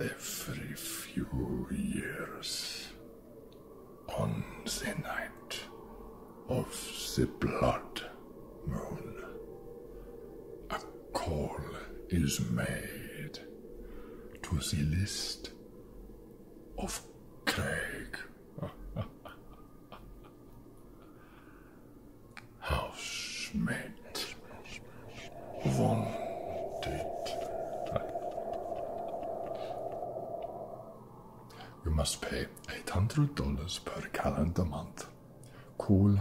Every few years, on the night of the blood moon, a call is made to the list of Craig. Housemate wanted. You must pay eight hundred dollars per calendar month. Cool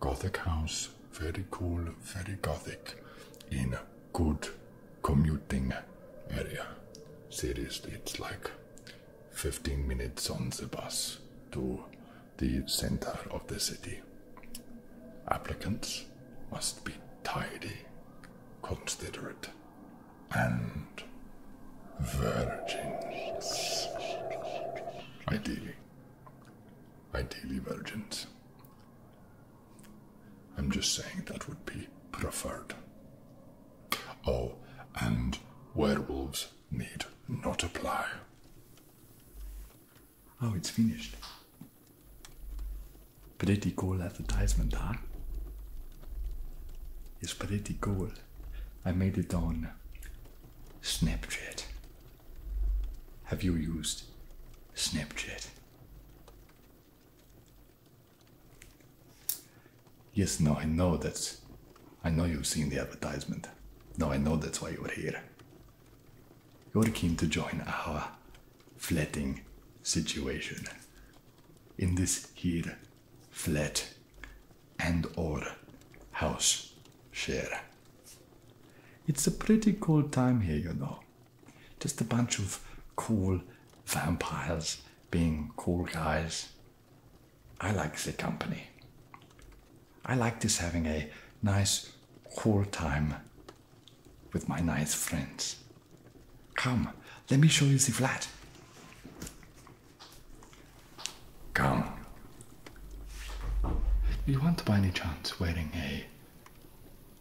Gothic house, very cool, very Gothic, in good commuting area. Seriously, it's like 15 minutes on the bus to the center of the city. Applicants must be tidy, considerate, and virgins. Ideally. Ideally, virgins. I'm just saying that would be preferred. Oh, and werewolves need not apply. Oh, it's finished. Pretty cool advertisement, huh? It's pretty cool. I made it on Snapchat. Have you used Snapchat? Yes, no, I know that's. I know you've seen the advertisement. No, I know that's why you're here. You're keen to join our flatting situation. In this here flat and or house share. It's a pretty cool time here, you know. Just a bunch of cool vampires being cool guys I like the company. I like this having a nice whole time with my nice friends. Come, let me show you the flat. Come. You want by any chance wearing a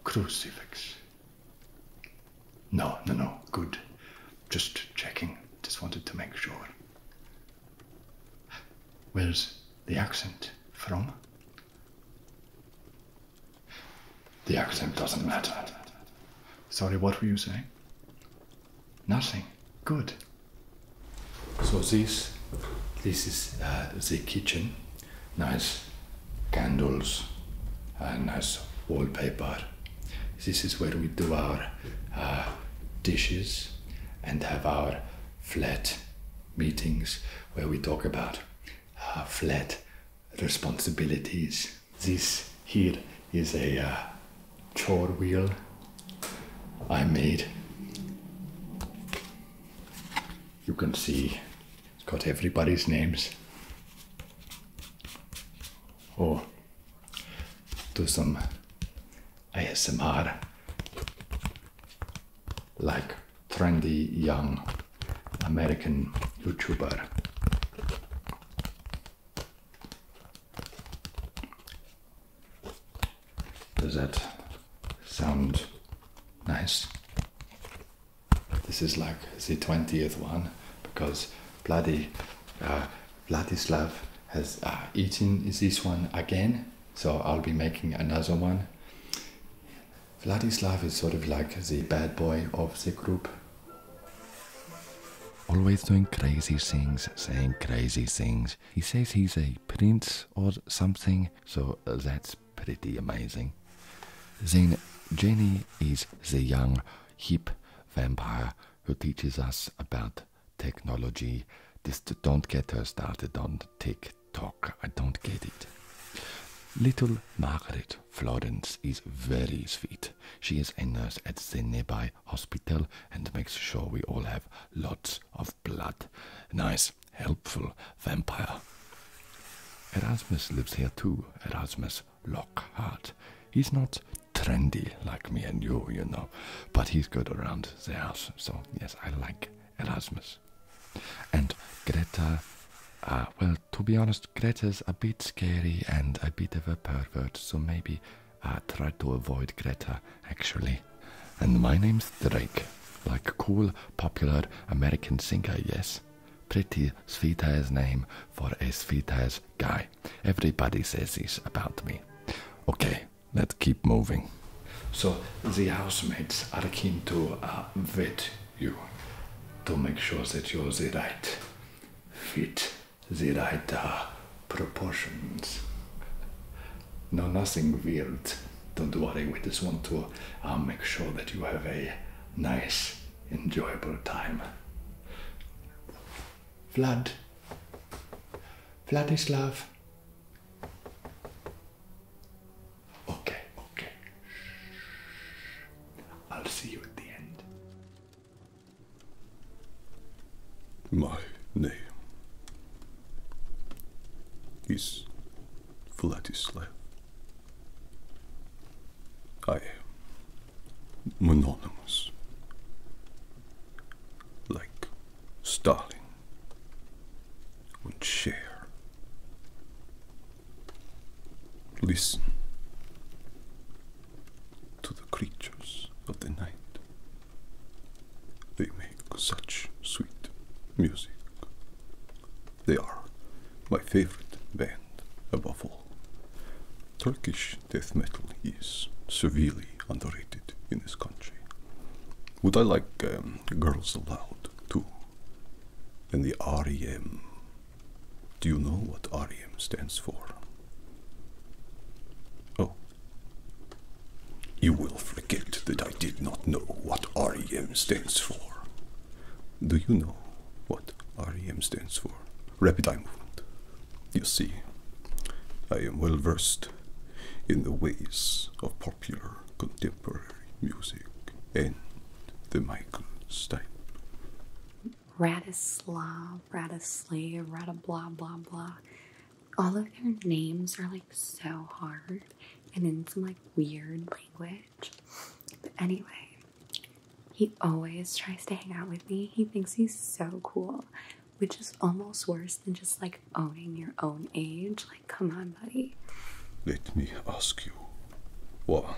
crucifix? No, no, no. Good. Just checking. Just wanted to make sure. Where's the accent from? The accent doesn't matter. Sorry, what were you saying? Nothing. Good. So this, this is uh, the kitchen. Nice candles, and uh, nice wallpaper, this is where we do our uh, dishes and have our flat meetings where we talk about uh, flat responsibilities. This here is a uh, chore wheel I made. You can see it's got everybody's names. Oh, do some ASMR like trendy young American YouTuber. Does that sound nice? This is like the 20th one because bloody uh, Vladislav has uh, eaten this one again, so I'll be making another one. Vladislav is sort of like the bad boy of the group. Always doing crazy things, saying crazy things. He says he's a prince or something, so uh, that's pretty amazing. Then Jenny is the young, hip vampire who teaches us about technology. Just don't get her started on TikTok. I don't get it. Little Margaret Florence is very sweet. She is a nurse at the nearby hospital and makes sure we all have lots of blood. Nice, helpful vampire. Erasmus lives here too, Erasmus Lockhart. He's not trendy like me and you, you know. But he's good around the house, so yes, I like Erasmus. And Greta, uh, well, to be honest, Greta's a bit scary and a bit of a pervert, so maybe I uh, try to avoid Greta, actually. And my name's Drake, like cool, popular American singer, yes. Pretty sweet as name, for a sweet ass guy. Everybody says this about me. Okay, let's keep moving. So the housemates are keen to uh, vet you to make sure that you're the right fit, the right uh, proportions. No, nothing weird. Don't worry, we just want to uh, make sure that you have a nice, enjoyable time. Vlad, Vladislav. Okay, okay. I'll see you at the end. My name is Vladislav. I mononymous, like Stalin and share. Listen to the creatures of the night. They make such sweet music. They are my favorite band above all. Turkish death metal is severely underrated in this country. Would I like um, Girls allowed too? And the REM. Do you know what REM stands for? Oh. You will forget that I did not know what REM stands for. Do you know what REM stands for? rapid eye movement. You see, I am well versed in the ways of popular contemporary music and the Michael style. Radislav, Radislay, Rada blah blah blah. All of their names are like so hard and in some like weird language. But anyway, he always tries to hang out with me. He thinks he's so cool, which is almost worse than just like owning your own age. Like, come on, buddy. Let me ask you one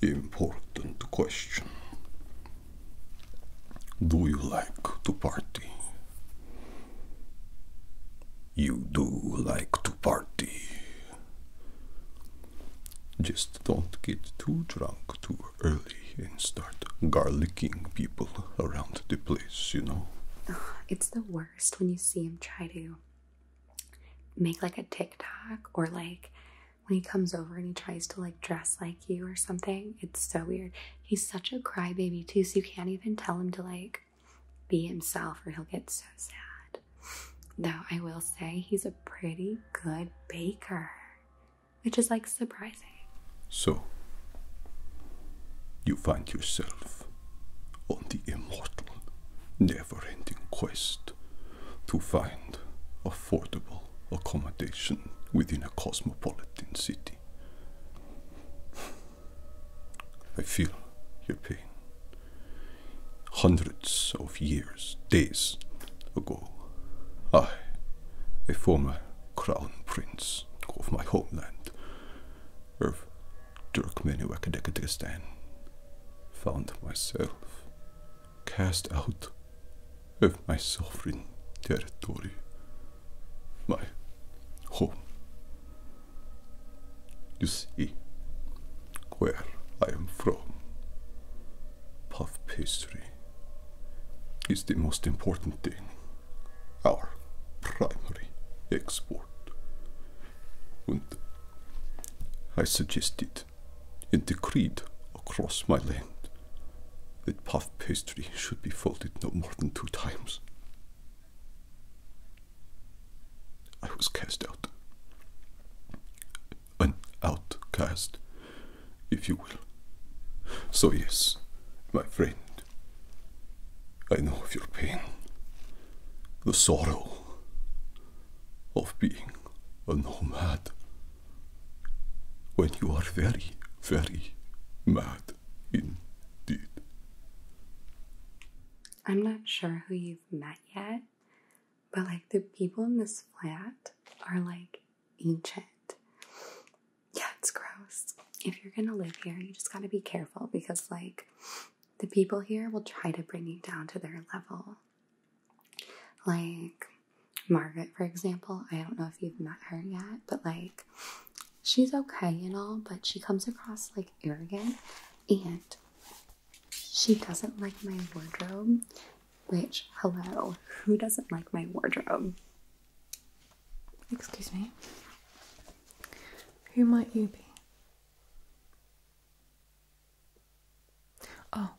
important question Do you like to party? You do like to party. Just don't get too drunk too early and start garlicking people around the place, you know? It's the worst when you see him try to make like a TikTok or like when he comes over and he tries to like dress like you or something. It's so weird. He's such a crybaby too, so you can't even tell him to like be himself or he'll get so sad. Though I will say he's a pretty good baker which is like surprising. So, you find yourself on the immortal, never ending quest to find affordable accommodation within a cosmopolitan city. I feel your pain. Hundreds of years, days ago, I, a former crown prince of my homeland, of Turkmenistan, found myself cast out of my sovereign territory, my home. You see, where I am from, puff pastry is the most important thing, our primary export. And I suggested and decreed across my land that puff pastry should be folded no more than two times. I was cast out an outcast, if you will. So, yes, my friend, I know of your pain, the sorrow of being a nomad when you are very, very mad indeed. I'm not sure who you've met yet, but like the people in this flat are like ancient. Yeah, it's gross. If you're gonna live here, you just gotta be careful because like the people here will try to bring you down to their level. Like Margaret, for example, I don't know if you've met her yet, but like she's okay and all, but she comes across like arrogant and she doesn't like my wardrobe which, hello, who doesn't like my wardrobe? Excuse me. Who might you be? Oh,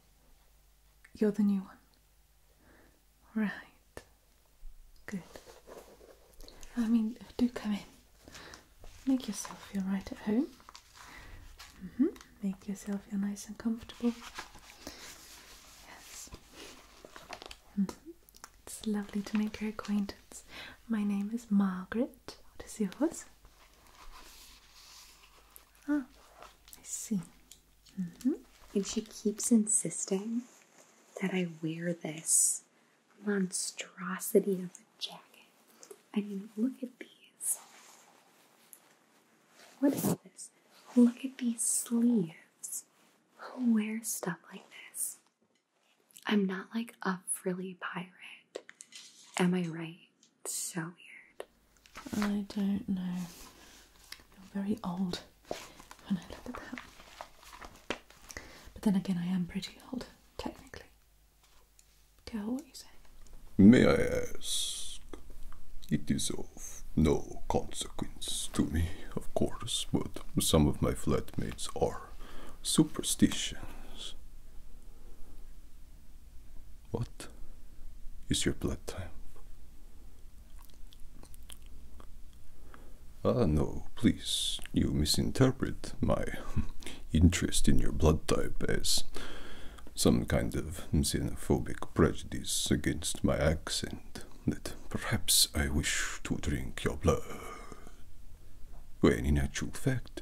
you're the new one. Right. Good. I mean, do come in. Make yourself feel right at home. Mm-hmm. Make yourself feel nice and comfortable. Yes. It's lovely to make your acquaintance. My name is Margaret. What is yours? Ah, I see. Mm-hmm. And she keeps insisting that I wear this monstrosity of a jacket. I mean, look at these. What is this? Oh, look at these sleeves. Who wears stuff like this? I'm not like a frilly pirate. Am I right? so weird. I don't know. I feel very old when I look at that. But then again, I am pretty old, technically. Tell what you say. May I ask? It is of no consequence to me, of course, but some of my flatmates are superstitions. What is your blood type? Ah, no, please. You misinterpret my interest in your blood type as some kind of xenophobic prejudice against my accent that perhaps I wish to drink your blood. When in actual fact,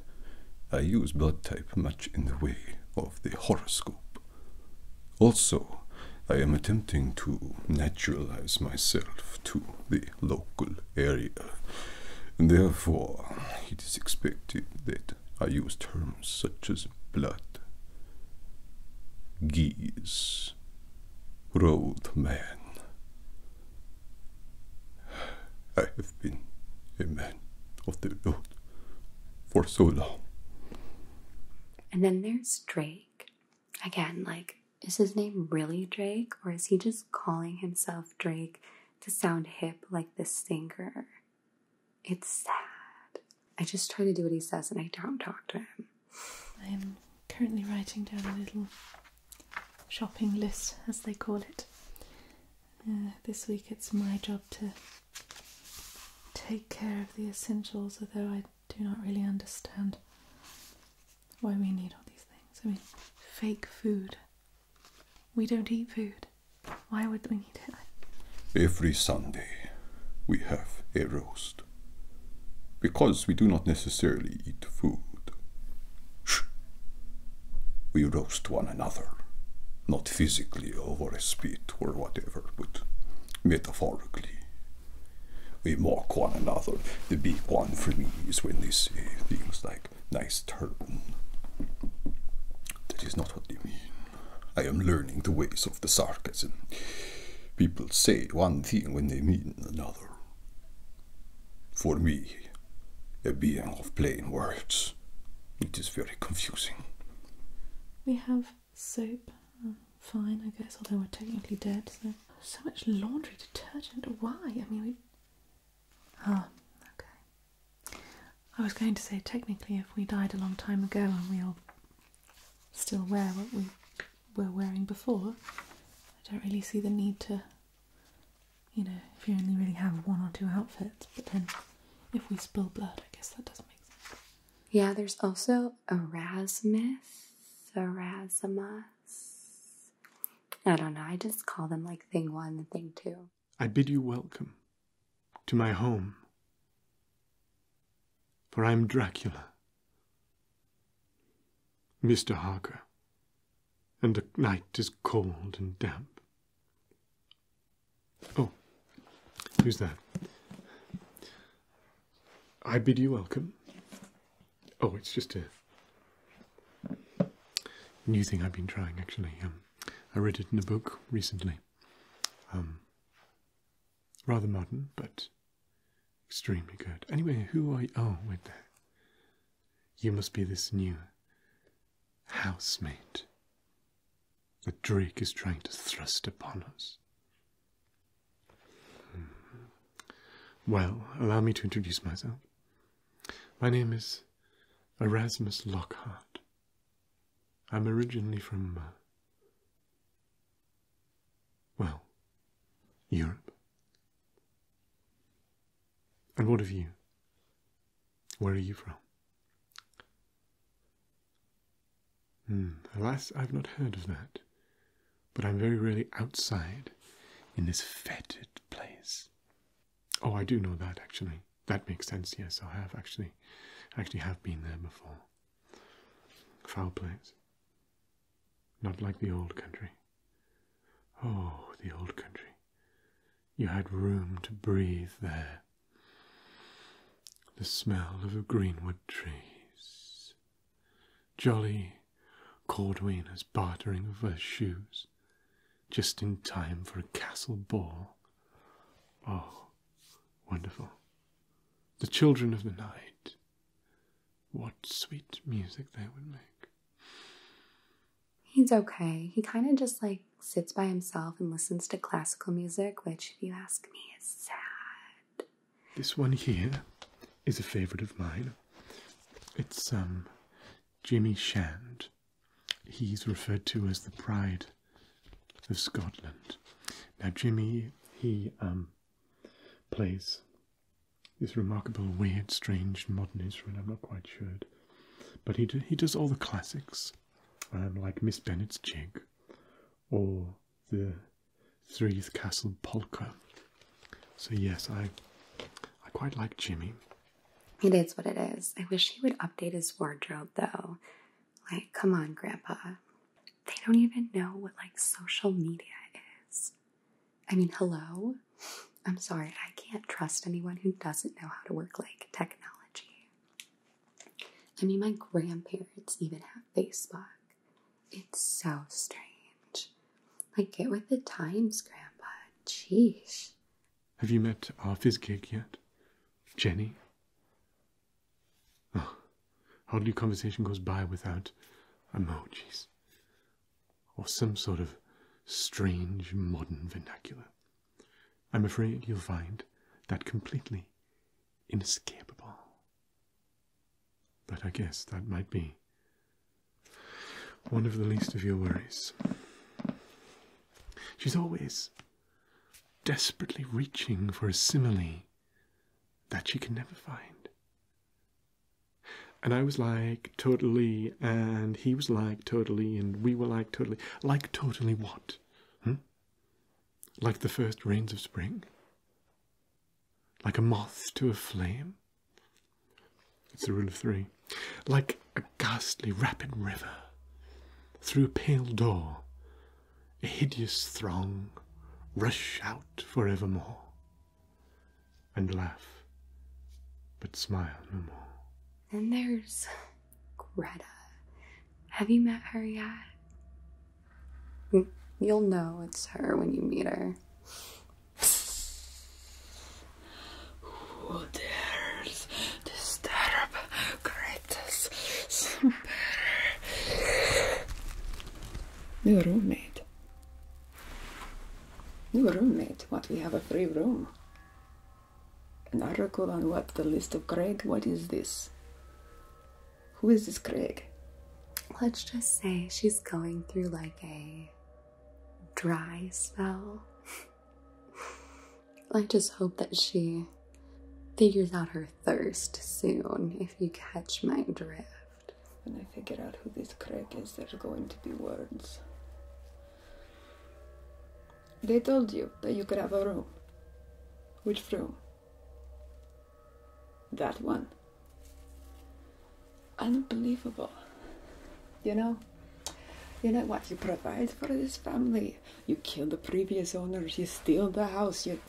I use blood type much in the way of the horoscope. Also, I am attempting to naturalize myself to the local area. Therefore, it is expected that I use terms such as blood, geese, road man. I have been a man of the road for so long. And then there's Drake. Again, like, is his name really Drake? Or is he just calling himself Drake to sound hip like the singer? It's sad. I just try to do what he says and I don't talk to him. I'm currently writing down a little shopping list, as they call it. Uh, this week it's my job to take care of the essentials, although I do not really understand why we need all these things. I mean, fake food. We don't eat food. Why would we need it? Every Sunday, we have a roast. Because we do not necessarily eat food. Shh. We roast one another. Not physically over a spit or whatever, but metaphorically. We mock one another. The big one for me is when they say things like, nice turn." That is not what they mean. I am learning the ways of the sarcasm. People say one thing when they mean another. For me, a being of plain words, it is very confusing. We have soap. Um, fine, I guess, although we're technically dead, so. So much laundry detergent. Why? I mean, we. Ah, okay. I was going to say, technically, if we died a long time ago and we'll still wear what we were wearing before, I don't really see the need to, you know, if you only really have one or two outfits, but then if we spill blood, I guess that does not make sense. Yeah, there's also Erasmus, Erasmus. I don't know, I just call them like thing one thing two. I bid you welcome to my home. For I am Dracula, Mr. Harker, and the night is cold and damp. Oh, who's that? I bid you welcome. Oh, it's just a new thing I've been trying, actually. Um, I read it in a book recently. Um, rather modern, but extremely good. Anyway, who are you? Oh, wait there. You must be this new housemate that Drake is trying to thrust upon us. Hmm. Well, allow me to introduce myself. My name is Erasmus Lockhart, I'm originally from, uh, well, Europe. And what of you? Where are you from? Hmm, alas, I've not heard of that. But I'm very rarely outside in this fetid place. Oh, I do know that, actually that makes sense. Yes, I have actually, actually have been there before. Foul place. Not like the old country. Oh, the old country. You had room to breathe there. The smell of greenwood trees. Jolly Cordwainers bartering of her shoes, just in time for a castle ball. Oh, wonderful. The children of the night. What sweet music they would make. He's okay. He kind of just like sits by himself and listens to classical music, which, if you ask me, is sad. This one here is a favorite of mine. It's, um, Jimmy Shand he's referred to as the pride of Scotland. Now, Jimmy, he um, plays this remarkable, weird, strange modern instrument. I'm not quite sure, but he he does all the classics, um, like Miss Bennett's jig, or the Threeth Castle polka. So yes, I I quite like Jimmy. It is what it is. I wish he would update his wardrobe though. Like, come on, Grandpa. They don't even know what like social media is. I mean, hello? I'm sorry, I can't trust anyone who doesn't know how to work like technology. I mean, my grandparents even have Facebook. It's so strange. Like, get with the times, Grandpa. Jeez. Have you met our Fizzgig yet? Jenny? Oh, ah, hardly conversation goes by without emojis or some sort of strange modern vernacular. I'm afraid you'll find that completely inescapable. But I guess that might be one of the least of your worries. She's always desperately reaching for a simile that she can never find. And I was like, totally, and he was like, totally, and we were like, totally. Like, totally what? Hmm? Like the first rains of spring? Like a moth to a flame? It's the rule of three. Like a ghastly rapid river, through a pale door, a hideous throng rush out for evermore, and laugh, but smile no more. And there's Greta. Have you met her yet? Mm, you'll know it's her when you meet her. Who dares disturb New roommate. New roommate. What? We have a free room. An article on what? The list of Craig? What is this? Who is this Craig? Let's just say she's going through like a dry spell. I just hope that she figures out her thirst soon, if you catch my drift. When I figure out who this Craig is, there's going to be words. They told you that you could have a room. Which room? That one. Unbelievable. You know, you know what you provide for this family you kill the previous owners, you steal the house, you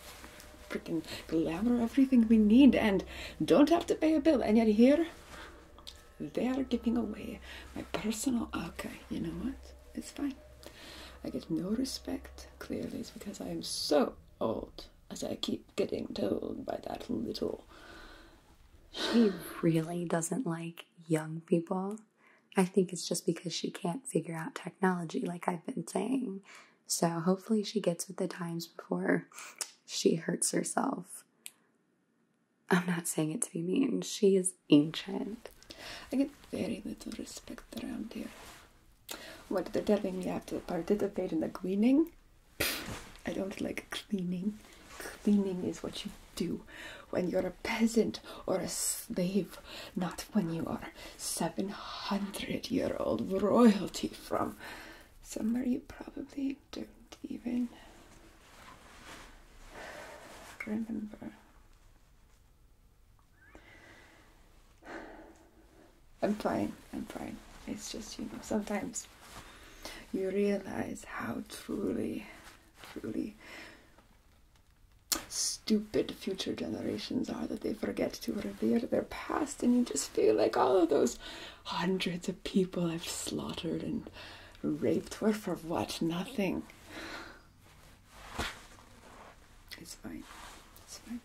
freaking glamour everything we need and don't have to pay a bill. And yet here, they are giving away my personal archive. You know what? It's fine. I get no respect. Clearly, it's because I am so old, as I keep getting told by that little. She really doesn't like young people. I think it's just because she can't figure out technology, like I've been saying. So hopefully she gets with the times before she hurts herself. I'm not saying it to be mean. She is ancient. I get very little respect around here. What they're telling me I have to participate in the cleaning? I don't like cleaning. Cleaning is what you do when you're a peasant or a slave, not when you are 700 year old royalty from somewhere you probably don't even remember. I'm fine, I'm fine. It's just, you know, sometimes you realize how truly, truly stupid future generations are that they forget to revere their past, and you just feel like all of those hundreds of people I've slaughtered and raped were for what? Nothing. It's fine. It's fine.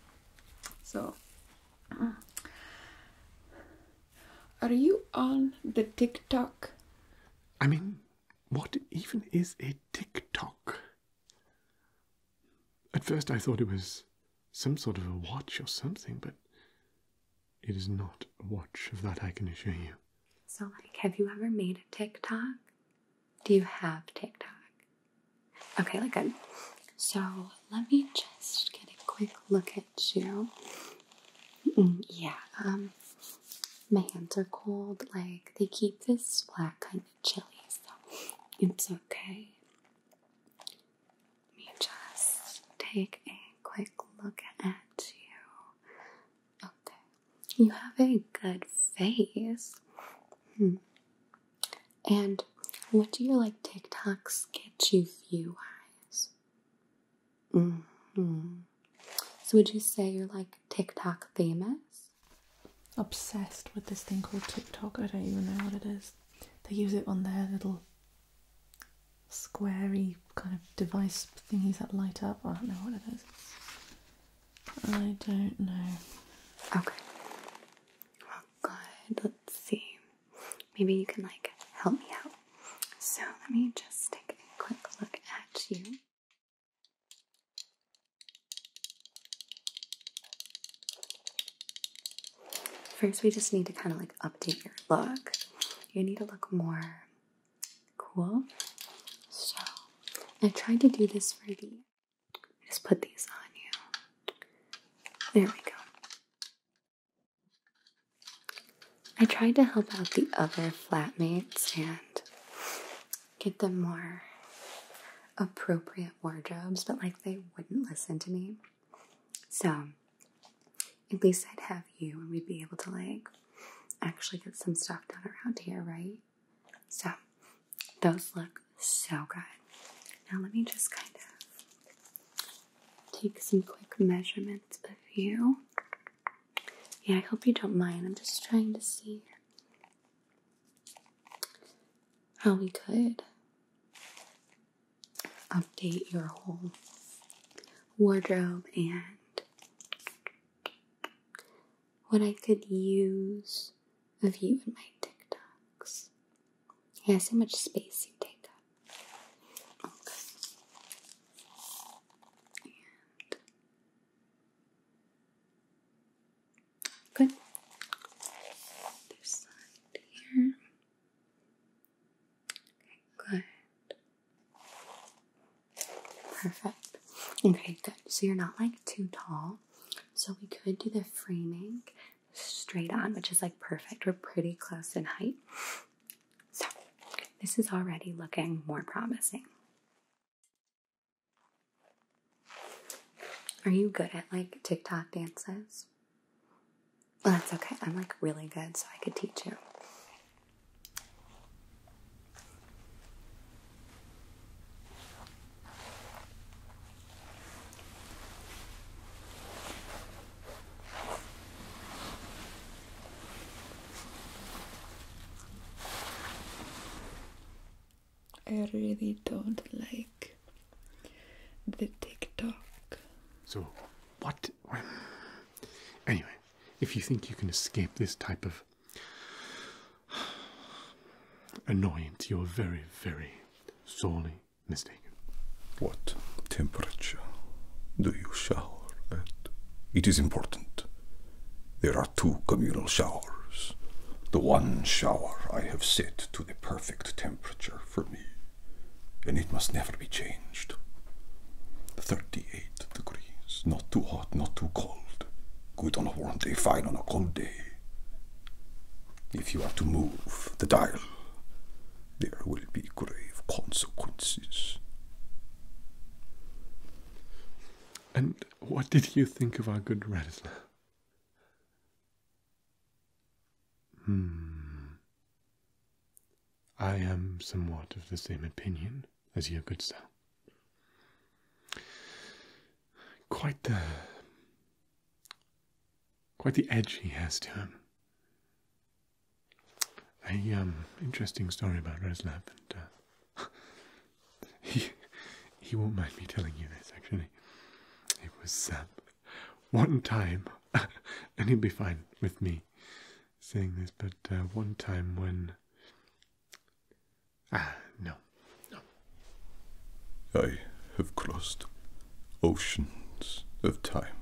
So, are you on the TikTok? I mean, what even is a TikTok? At first I thought it was some sort of a watch or something, but it is not a watch, of that I can assure you. So, like, have you ever made a TikTok? Do you have TikTok? Okay, like good. So, let me just get a quick look at you. Mm, yeah, um, my hands are cold. Like they keep this black kind of chilly, so it's okay. Let me just take a quick look at you. Okay, you have a good face. Hmm. And what do your like TikToks get you view wise? hmm So would you say you're like TikTok famous? Obsessed with this thing called TikTok. I don't even know what it is. They use it on their little squarey kind of device thingies that light up. I don't know what it is. I don't know. Okay. Well, good. Let's see. Maybe you can like help me out. So let me just take a quick look at you. First, we just need to kind of like update your look. You need to look more cool. So, I tried to do this for you. just put these on you. There we go. I tried to help out the other flatmates and get them more appropriate wardrobes, but like they wouldn't listen to me. So at least I'd have you and we'd be able to like actually get some stuff done around here, right? So those look so good. Now let me just kind of take some quick measurements of you. Yeah, I hope you don't mind. I'm just trying to see how we could update your whole wardrobe and what I could use of you in my TikToks. Yeah, so much space you take Good. This side here. Okay, good. Perfect. Okay, good. So you're not like too tall. So we could do the framing straight on, which is like perfect. We're pretty close in height. So this is already looking more promising. Are you good at like TikTok dances? Well, that's okay. I'm like really good, so I could teach you. I really don't like the TikTok. So, what? Anyway, if you think you can escape this type of annoyance, you're very, very sorely mistaken. What temperature do you shower at? It is important. There are two communal showers. The one shower I have set to the perfect temperature for me, and it must never be changed. 38 degrees, not too hot, not too cold. Good on a warm day, fine on a cold day. If you are to move the dial, there will be grave consequences. And what did you think of our good Radislav? Hmm. I am somewhat of the same opinion as your good sir. Quite the quite the edge he has to him. A um interesting story about Radislav and uh, he, he won't mind me telling you this, actually. It was uh, one time, and he'd be fine with me saying this, but uh, one time when. Ah, no. No. I have crossed oceans of time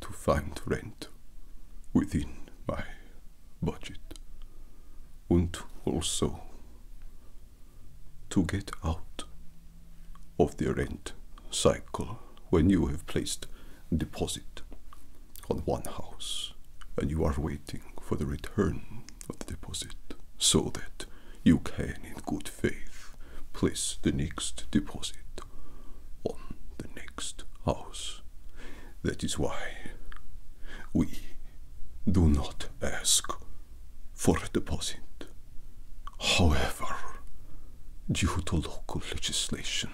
to find rent within my budget and also to get out of the rent cycle when you have placed deposit on one house and you are waiting for the return of the deposit so that you can in good faith place the next deposit on the next house that is why we do not ask for a deposit. However, due to local legislation,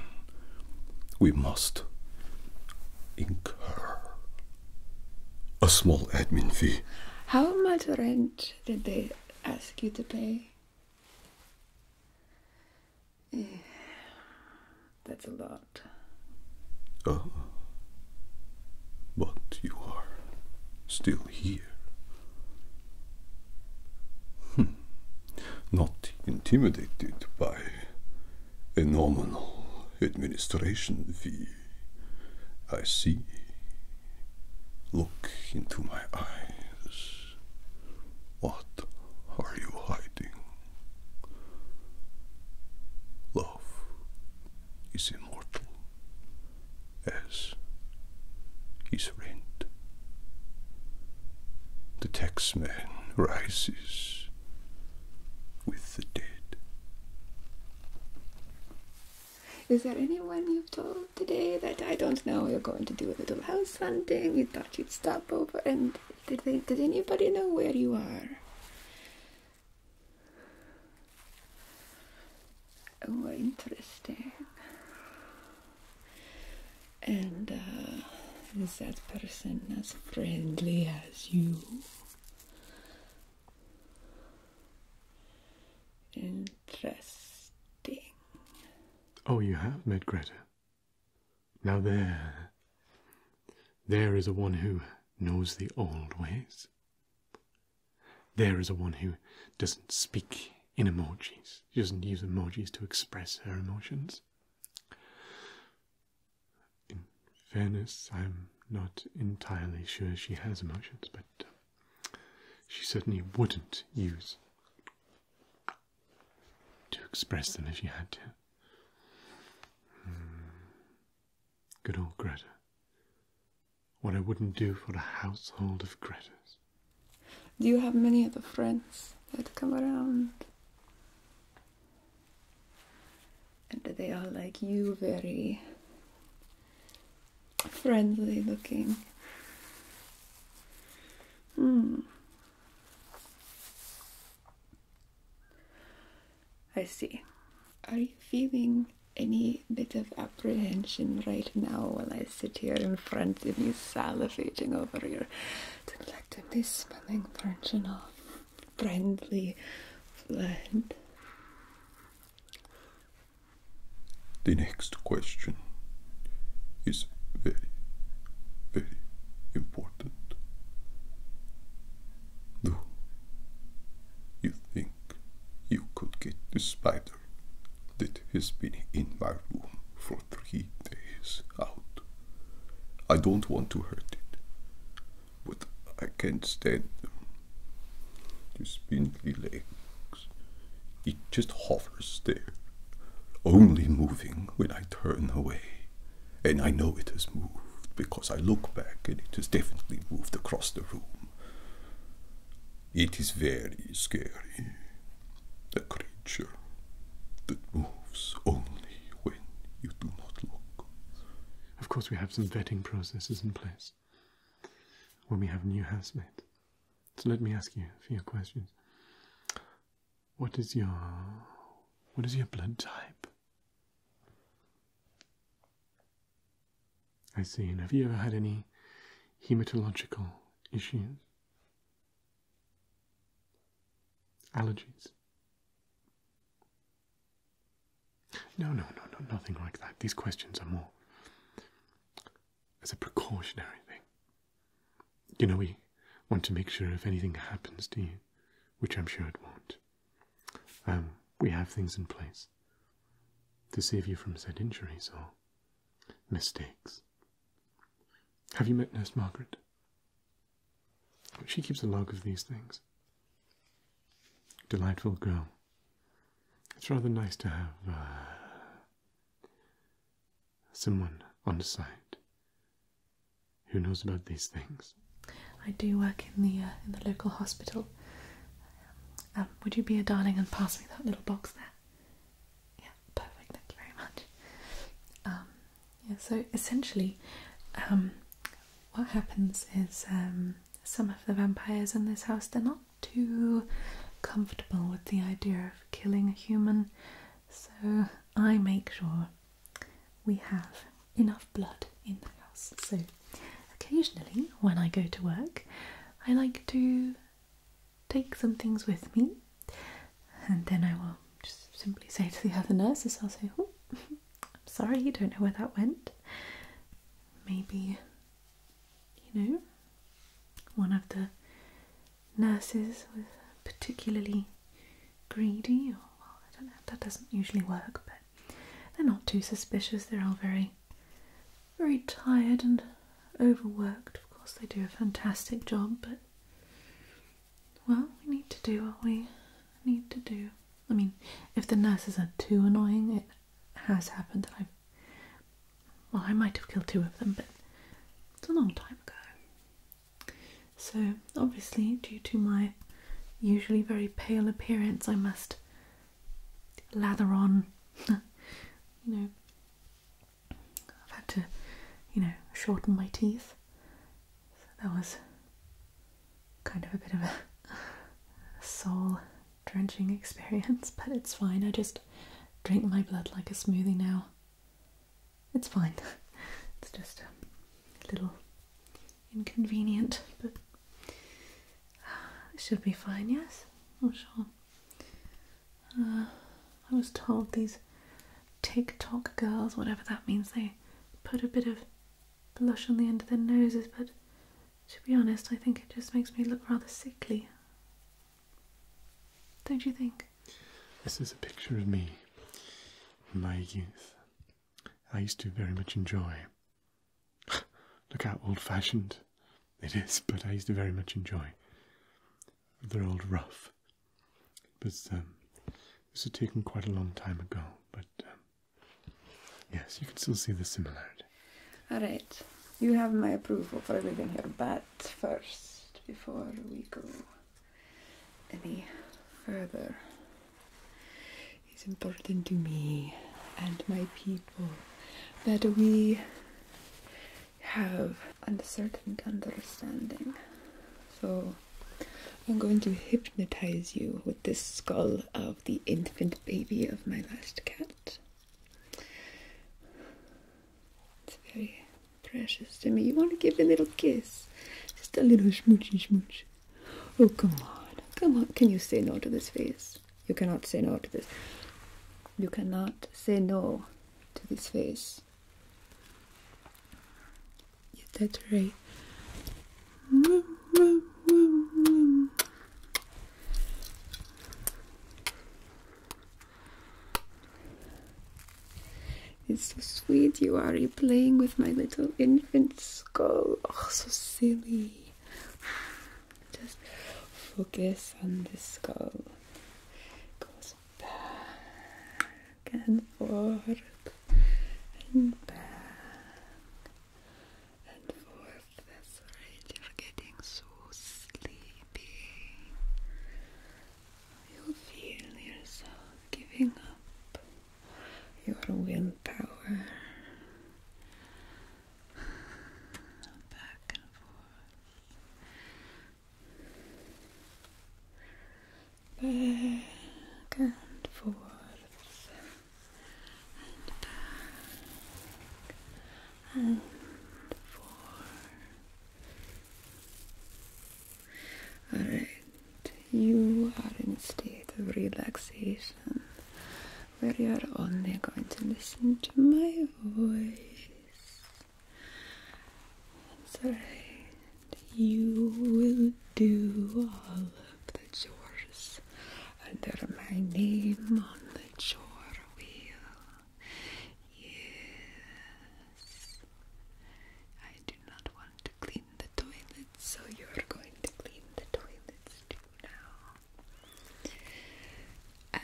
we must incur a small admin fee. How much rent did they ask you to pay? that's a lot. Oh. But you are still here. Hmm. Not intimidated by a nominal administration fee. I see. Look into my eyes. What are you hiding? Love is immortal as is rent. The taxman rises with the dead. Is there anyone you've told today that I don't know you're going to do a little house hunting? You thought you'd stop over and did they, did anybody know where you are? Oh, interesting. And uh, is that person as friendly as you? Interesting. Oh, you have met Greta. Now there, there is a one who knows the old ways. There is a one who doesn't speak in emojis. doesn't use emojis to express her emotions. In fairness, I'm not entirely sure she has emotions, but she certainly wouldn't use to express them if you had to. Hmm. Good old Greta. What I wouldn't do for a household of Gretas. Do you have many other friends that come around? And they are like you, very friendly looking. Hmm. I see. Are you feeling any bit of apprehension right now while I sit here in front of you salivating over your delectably smelling virginal friendly blood? The next question is very, very important. Do you think you could get the spider that has been in my room for three days out? I don't want to hurt it, but I can't stand them. The spindly legs. It just hovers there, only moving when I turn away and I know it has moved because I look back and it has definitely moved across the room. It is very scary. the creature that moves only when you do not look. Of course, we have some vetting processes in place when we have new housemates. So let me ask you a few questions. What is your what is your blood type? I see. And have you ever had any hematological issues? Allergies? No, no, no, no, nothing like that. These questions are more as a precautionary thing. You know, we want to make sure if anything happens to you, which I'm sure it won't, um, we have things in place to save you from said injuries or mistakes. Have you met Nurse Margaret? She keeps a log of these things. Delightful girl. It's rather nice to have uh, someone on the side who knows about these things. I do work in the uh, in the local hospital. Um, would you be a darling and pass me that little box there? Yeah, perfect. Thank you very much. Um, yeah, so essentially, um, what happens is some of the vampires in this house they're not too comfortable with the idea of killing a human so I make sure we have enough blood in the house. So occasionally, when I go to work, I like to take some things with me, and then I will just simply say to the other nurses, I'll say, oh, I'm sorry, you don't know where that went. Maybe, you know, one of the nurses were particularly greedy, or I don't know, that doesn't usually work, but they're not too suspicious. They're all very, very tired and overworked. Of course, they do a fantastic job, but well, we need to do what we need to do. I mean, if the nurses are too annoying, it has happened that I've well, I might have killed two of them, but it's a long time ago. So, obviously, due to my usually very pale appearance, I must lather on. you know, I've had to, you know, shorten my teeth. that was kind of a bit of a soul drenching experience, but it's fine. I just drink my blood like a smoothie now. It's fine. It's just a little inconvenient, but it should be fine, yes? i oh, sure. Uh, I was told these TikTok girls, whatever that means, they put a bit of blush on the end of their noses, but to be honest, I think it just makes me look rather sickly. Don't you think? This is a picture of me in my youth. I used to very much enjoy. Look how old fashioned it is, but I used to very much enjoy the old rough. Um, this was taken quite a long time ago, but um, yes, you can still see the similarity. Alright, you have my approval for everything here, but first, before we go any further is important to me and my people that we have a certain understanding. So I'm going to hypnotize you with this skull of the infant baby of my last cat. It's very precious to me. You want to give a little kiss? Just a little schmoochy smooch. Oh, come on. Come on. Can you say no to this face? You cannot say no to this. You cannot say no to this face. that's right. It's so sweet you are playing with my little infant skull. Oh, so silly. Just focus on the skull. Goes back and forth and back and forth. That's right. You're getting so sleepy. You'll feel yourself giving up your willpower back and forth, back and forth, and back and forth. Alright, you are in a state of relaxation where you are only going to listen to my voice. That's right. you will do all of the chores under my name on the chore wheel. Yes. I do not want to clean the toilets, so you are going to clean the toilets too now.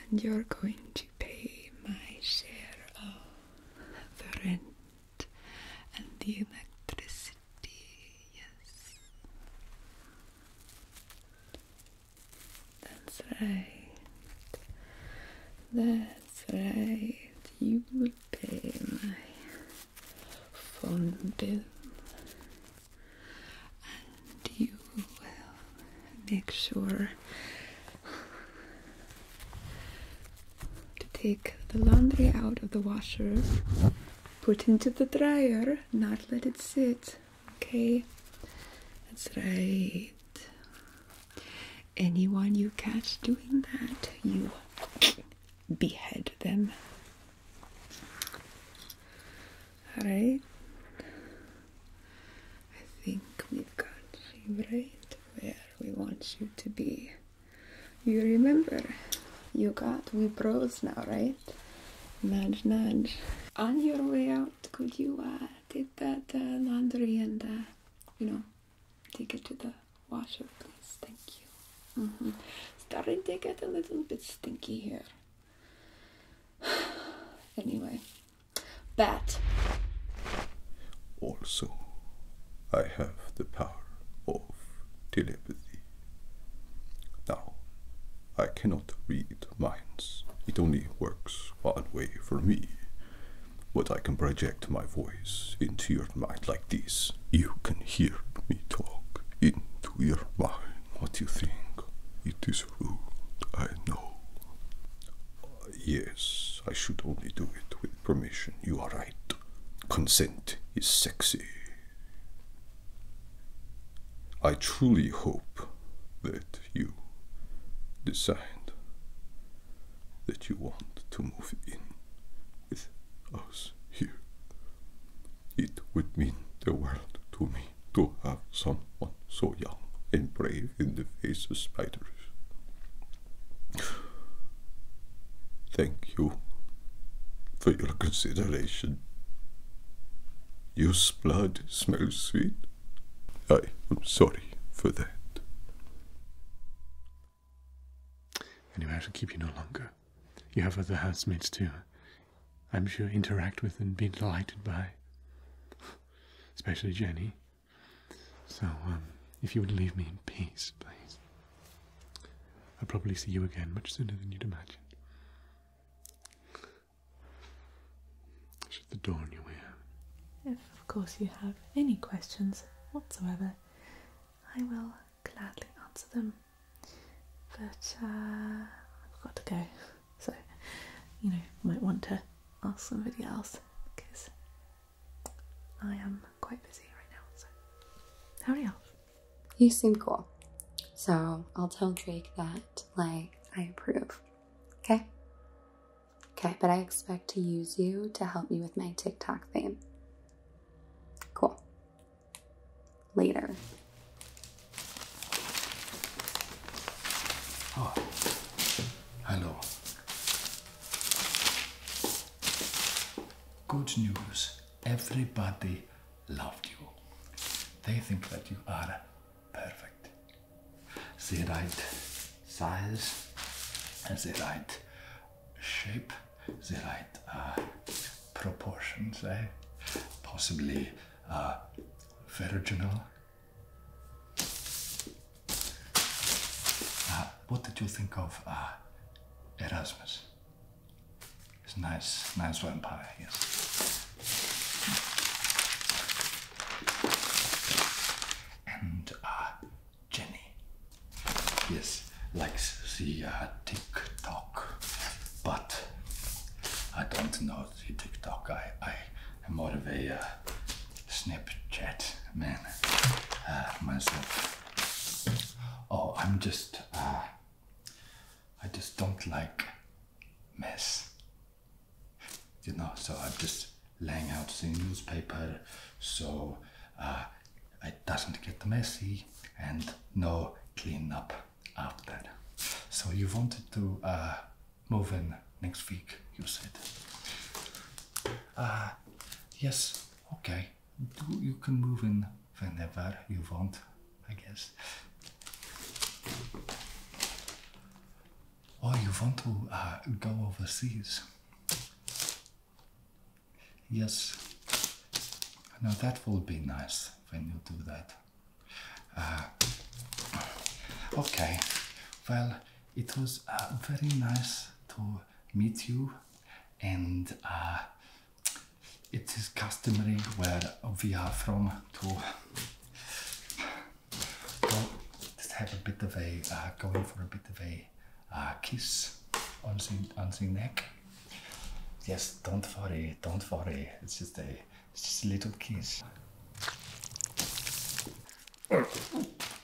And you're going to pay my share of the rent and the electricity. Yes. That's right. That that's right, you will pay my phone bill and you will make sure to take the laundry out of the washer, put into the dryer, not let it sit. Okay? That's right anyone you catch doing that, you behead them. Alright, I think we've got you right where we want you to be. You remember, you got we bros now, right? Nudge, nudge. On your way out, could you uh, take that uh, laundry and, uh, you know, take it to the washer, please. Thank you. Mm -hmm. Starting to get a little bit stinky here. anyway, bat. Also, I have the power of telepathy. Now, I cannot read minds. It only works one way for me. But I can project my voice into your mind like this. You can hear me talk into your mind. What you think? It is rude, I know. yes, I should only do it with permission. You are right. Consent is sexy. I truly hope that you decide that you want to move in with us here. It would mean the world to me to have someone so young and brave in the face of spiders. Thank you for your consideration. Your blood smells sweet. I am sorry for that. Anyway, I shall keep you no longer. You have other housemates too. I'm sure interact with and be delighted by, especially Jenny. So, um, if you would leave me in peace, please. I'll probably see you again much sooner than you'd imagine the dawn you wear. If, of course, you have any questions whatsoever, I will gladly answer them. But uh, I've got to go, so you know, might want to ask somebody else because I am quite busy right now. So, hurry up. You seem cool, so I'll tell Drake that, like, I approve. Okay? Okay, but I expect to use you to help me with my TikTok fame. Cool. Later. Oh, hello. Good news. Everybody loved you. They think that you are perfect the right size, and the right shape, the right äh, proportions, eh? Possibly äh, virginal. Uh, what did you think of uh, Erasmus? It's nice, nice vampire, yes. And uh, Jenny. Yes, likes the uh, TikTok, but I don't know the TikTok. I, I am more of a uh, Snapchat man uh, myself. Oh, I'm just, uh, I just don't like mess you know, so I'm just laying out the newspaper so uh, it doesn't get messy and no cleanup after. So you wanted to uh, move in next week, you said. Uh, yes, okay. You can move in whenever you want, I guess. Oh, you want to uh, go overseas. Yes, now that will be nice when you do that. Uh, okay, well, it was uh, very nice to meet you, and it is customary where we are from to just have a bit of a, uh, going for a bit of a uh, kiss on the, on the neck. Yes, don't worry, don't worry. It's just a, it's just a little kiss.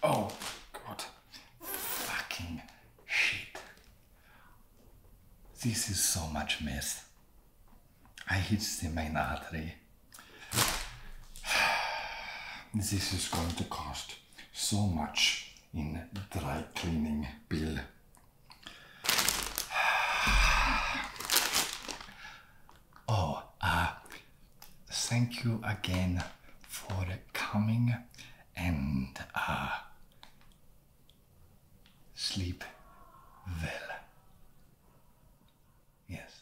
Oh, God. Fucking shit. This is so much mess. I hit the main artery this is going to cost so much in dry cleaning bill. Oh, uh, thank you again for coming and uh, sleep well. Yes.